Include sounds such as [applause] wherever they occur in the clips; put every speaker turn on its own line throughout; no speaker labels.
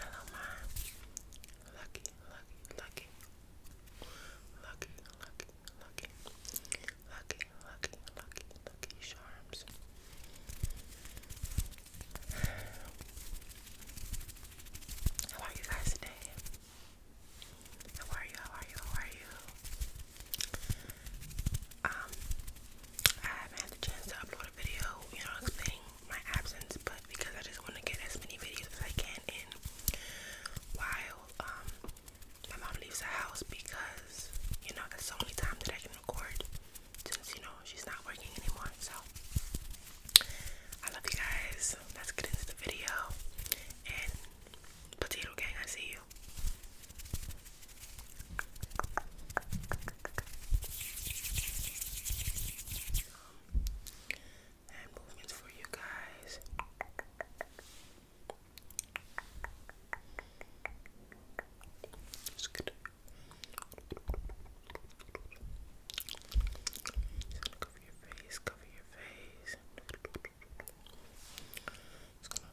Hello, my lucky, lucky, lucky, lucky, lucky, lucky, lucky, lucky, lucky, charms. How are you guys today? How are you? How are you? How are you? um, I haven't had the chance to upload a video, you know, explaining my absence, but because I just want to get as many videos as I can in while um, my mom leaves the house because, you know, that's the only time that I can record since, you know, she's not working anymore. So, I love you guys. Let's get into the video. And, Potato Gang, I see you you. movements for you guys. just gonna cover your face, cover your face. Just gonna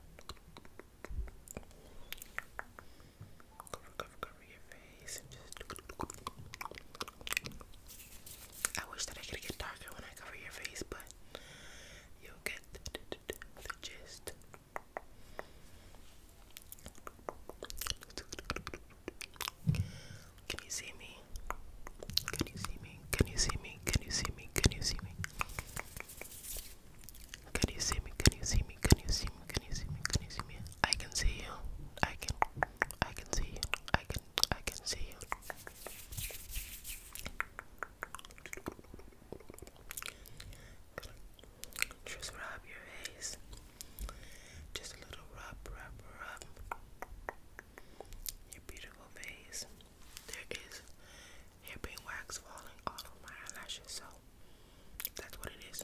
I wish that I could get darker when I cover your face, but you get the gist. Can you see me? Can you see me? Can you see me? Can you see me? Can you see me? Can you see me? Can you see me? Can you see me? Can you see me? Can you see me? I can see you. I can I can see you. I can I can see you. Just rub your face. Just a little rub, rub, rub. Your beautiful face. There is hairpin wax falling all over my eyelashes, so that's what it is.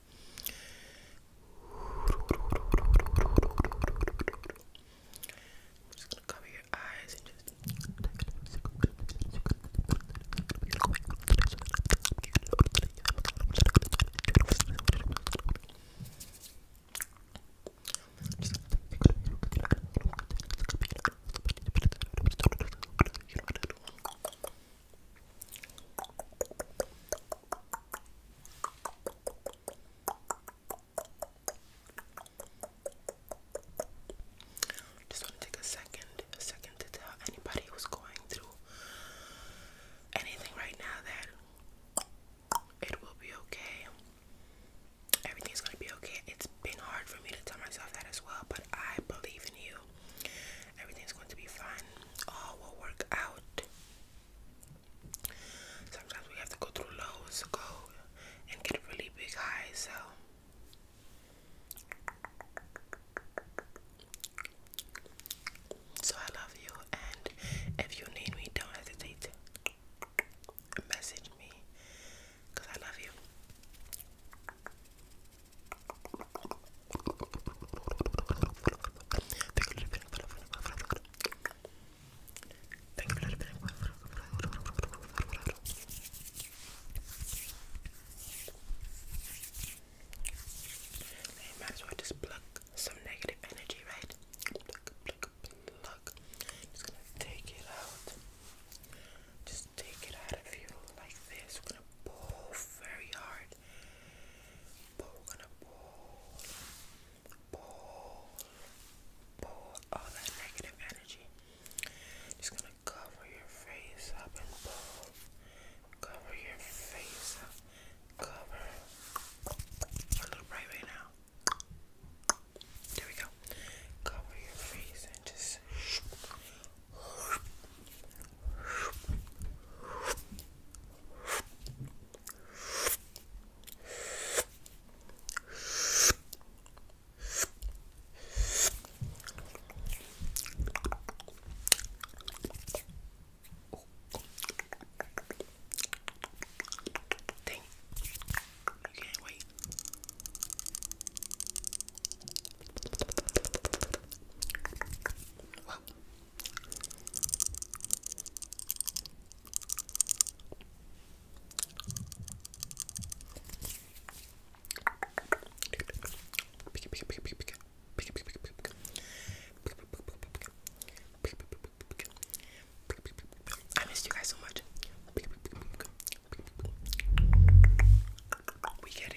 I'm just gonna cover your eyes and just just [laughs] Just want to take a second, a second to tell anybody who's going through anything right now that it will be okay. Everything's gonna be okay. It's been hard for me to tell myself that as well, but I believe in you. Everything's going to be fine. All will work out. Sometimes we have to go through lows go and get really big high, so so I love you and if you need me don't hesitate to message me because I love you. I might as well just pluck some negative energy, right? Just gonna take it out. Just just take it out of you like this. We're gonna pull very hard. But we're gonna pull, pull, pull all that negative energy. Just gonna cover your face up and pull. Cover your face up. Cover. A little bright now. There we go. Cover your face and just Dang, you can't wait. I missed you guys so much. We get it.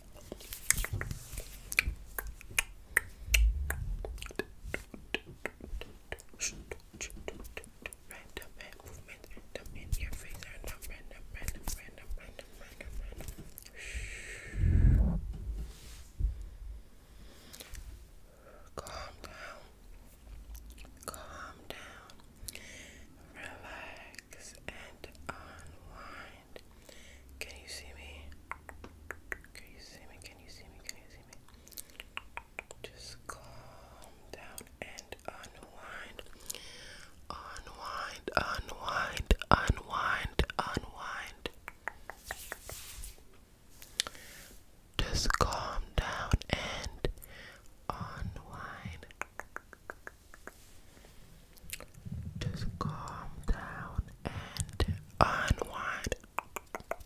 Random hand movement, random in your face, random, random, random, random, random, random, random. Calm down. Calm down. Relax and unwind mind. Can you see me? Can you see me? Can you see me? Can you see me? Just calm down and unwind. Unwind, unwind, unwind, unwind. Just calm down and unwind. Just calm down and unwind. I'm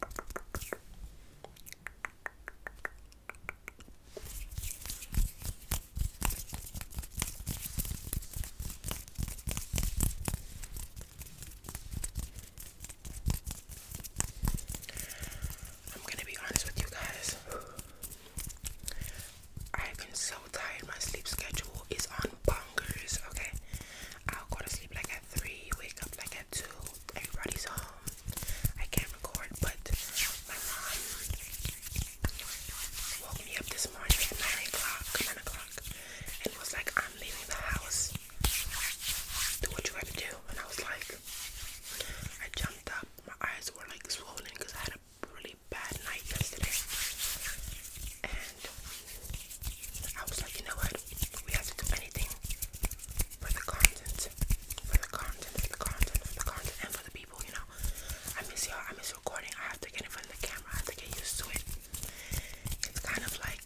gonna be honest with you guys. I've been so tired, my sleep schedule is on bonkers, okay? I'll go to sleep like at 3, wake up like at 2. Everybody's home. I can't record, but my mom woke me up this morning at 9 o'clock, 9 o'clock, and was like, I'm leaving the house. Do what you gotta do. And I was like, I jumped up. My eyes were like swollen because I had a really bad night yesterday, and I was like, you know what? We have to do anything for the content, for the content, for the content, for the content, and for the people. You know, I miss y'all. I miss recording. I have to get in front of the camera. I have to get used to it. It's kind of like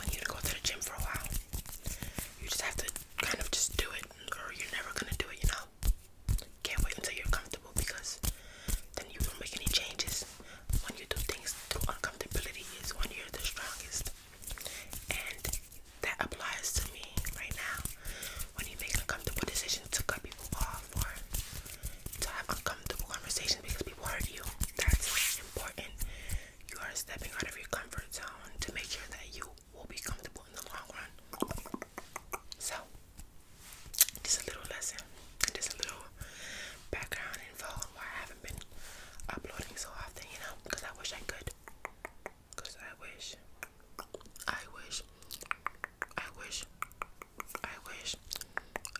when you go to the gym for a while. You just have to kind of just do it, or you're never gonna do it. You know. Can't wait until you're comfortable because then you don't make any changes. When you do things through uncomfortability is when you're the strongest. And that applies to me right now. When you make uncomfortable decisions to cut people off or to have uncomfortable conversations because people hurt you, that's important. You are stepping out of your comfort zone to make sure that you will be comfortable in the long run. So just a little lesson just a little background info on why I haven't been uploading so often, you know, because I wish I could. Because I wish, I wish, I wish, I wish,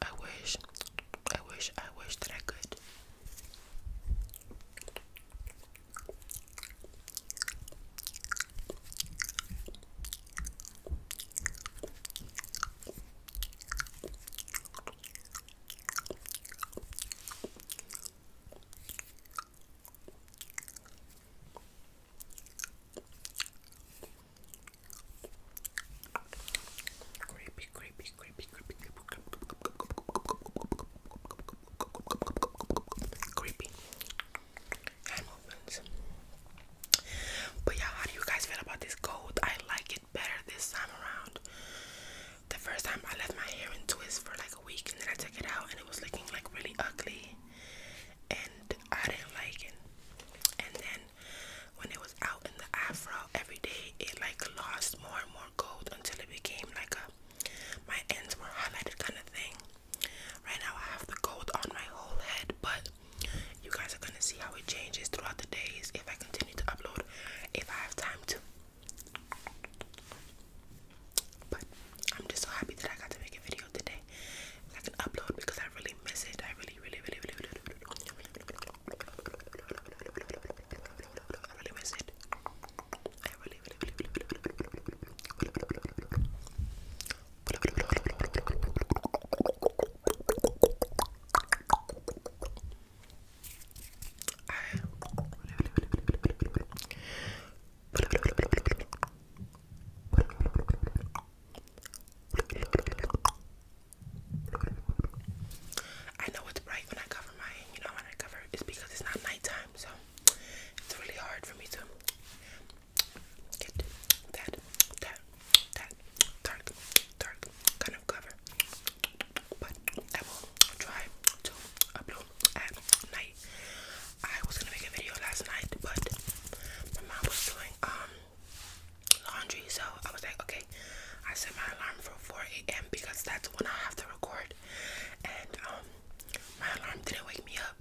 I wish, I wish, I wish that I could. Creepy, creepy, creepy, creepy, creepy, creepy hand movements. But yeah, how do you guys feel about this gold? I like it better this time around. The first time I left my hair in twists for like a week and then I took it out and it was looking like really ugly and I didn't like it. And then when it was out in the afro every day it like lost more and more gold until it became like a my ends were highlighted kind of thing. Right now I have the gold on my whole head, but you guys are gonna see how it changes throughout the days if I continue to upload, if I have time to. But I'm just so happy that I got to make a video today. I can upload because I really miss it. I really, really, really, really, really, really, really miss it. really, really, really, really, really, really, really, I know it's bright when I cover my, you know, when I cover it's because it's not nighttime, so it's really hard for me to get that, that, that dark, dark kind of cover. But I will try to upload at night. I was gonna make a video last night, but my mom was doing um, laundry, so I was like, okay, I set my alarm for 4 a.m. because that's when I have to record, and um, my alarm didn't wake me up.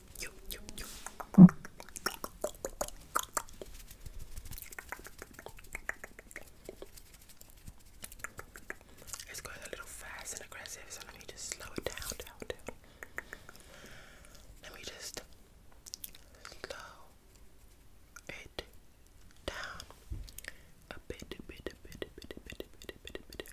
you, you, you, you. It's going a little fast and aggressive, so let me just slow it down, down, down. Let me just slow it down a bit, a bit, a bit, a bit, a bit, a bit, a bit, a bit.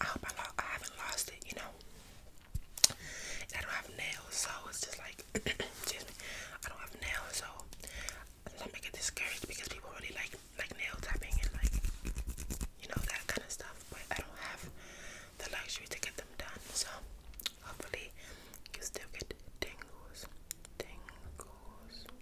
I hope I, haven't lost it, you know. I don't have nails, so it's just like, [clears throat] I don't have nails, so i sometimes I get discouraged because people really like like nail tapping and like, you know, that kind of stuff. But I don't have the luxury to get them done, so hopefully you still get tingles, tingles.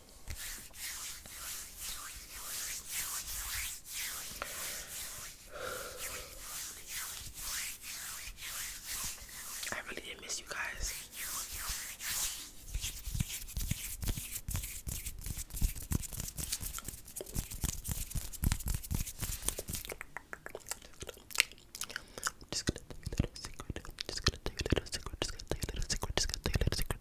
I really did miss you guys. Just gonna take a little secret. Just gonna take a little secret. Just gonna take a little secret. Just gonna take a little secret.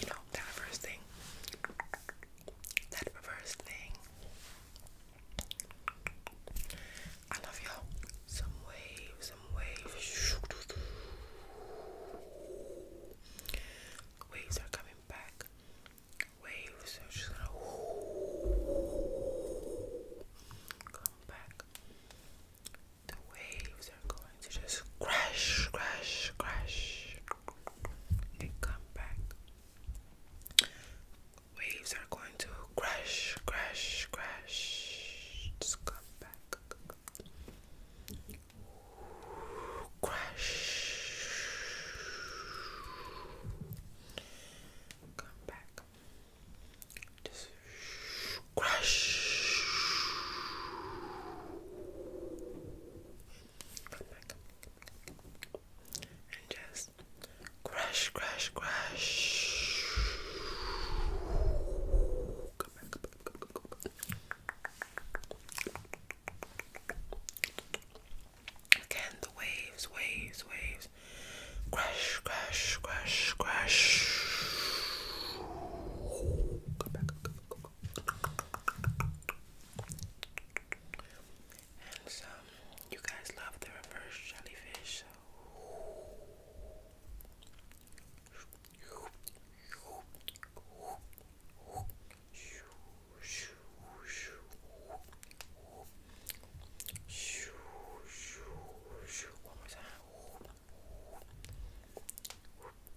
You know, that first thing. That reverse thing. I love y'all. Some wave, some waves. Waves are coming back. Waves are just gonna come back. The waves are going to just crash, crash, crash, and come back. Waves are going to crash, crash, crash, just come back. Crash, come back. Just Crush. Come back, And just crush, crush, crush. Come back, come back, come back, come back. Again, the waves, waves, waves. Crash, crash, crash, crash. Go back, go back, go and some, you guys love the reverse jellyfish.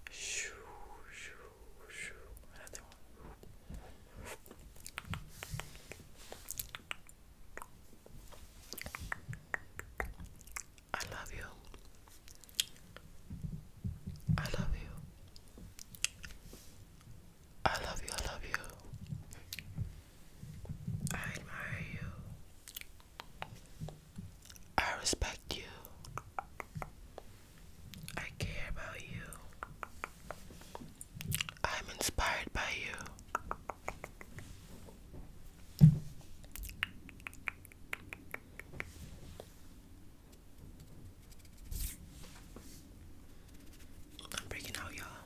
Shoo, shoo, shoo. Another I love you. I love you. I love you. I love you. I admire you. I respect you. I care about you. I'm inspired by you. I'm breaking out, y'all.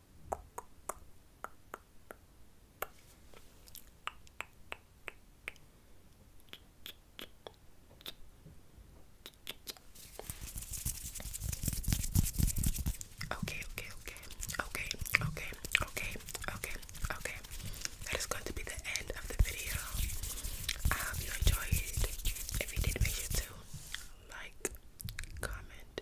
Okay, okay, okay, okay, okay, okay, okay, okay. That is going to be the end of the video. I hope you enjoyed If you did, make sure to like, comment,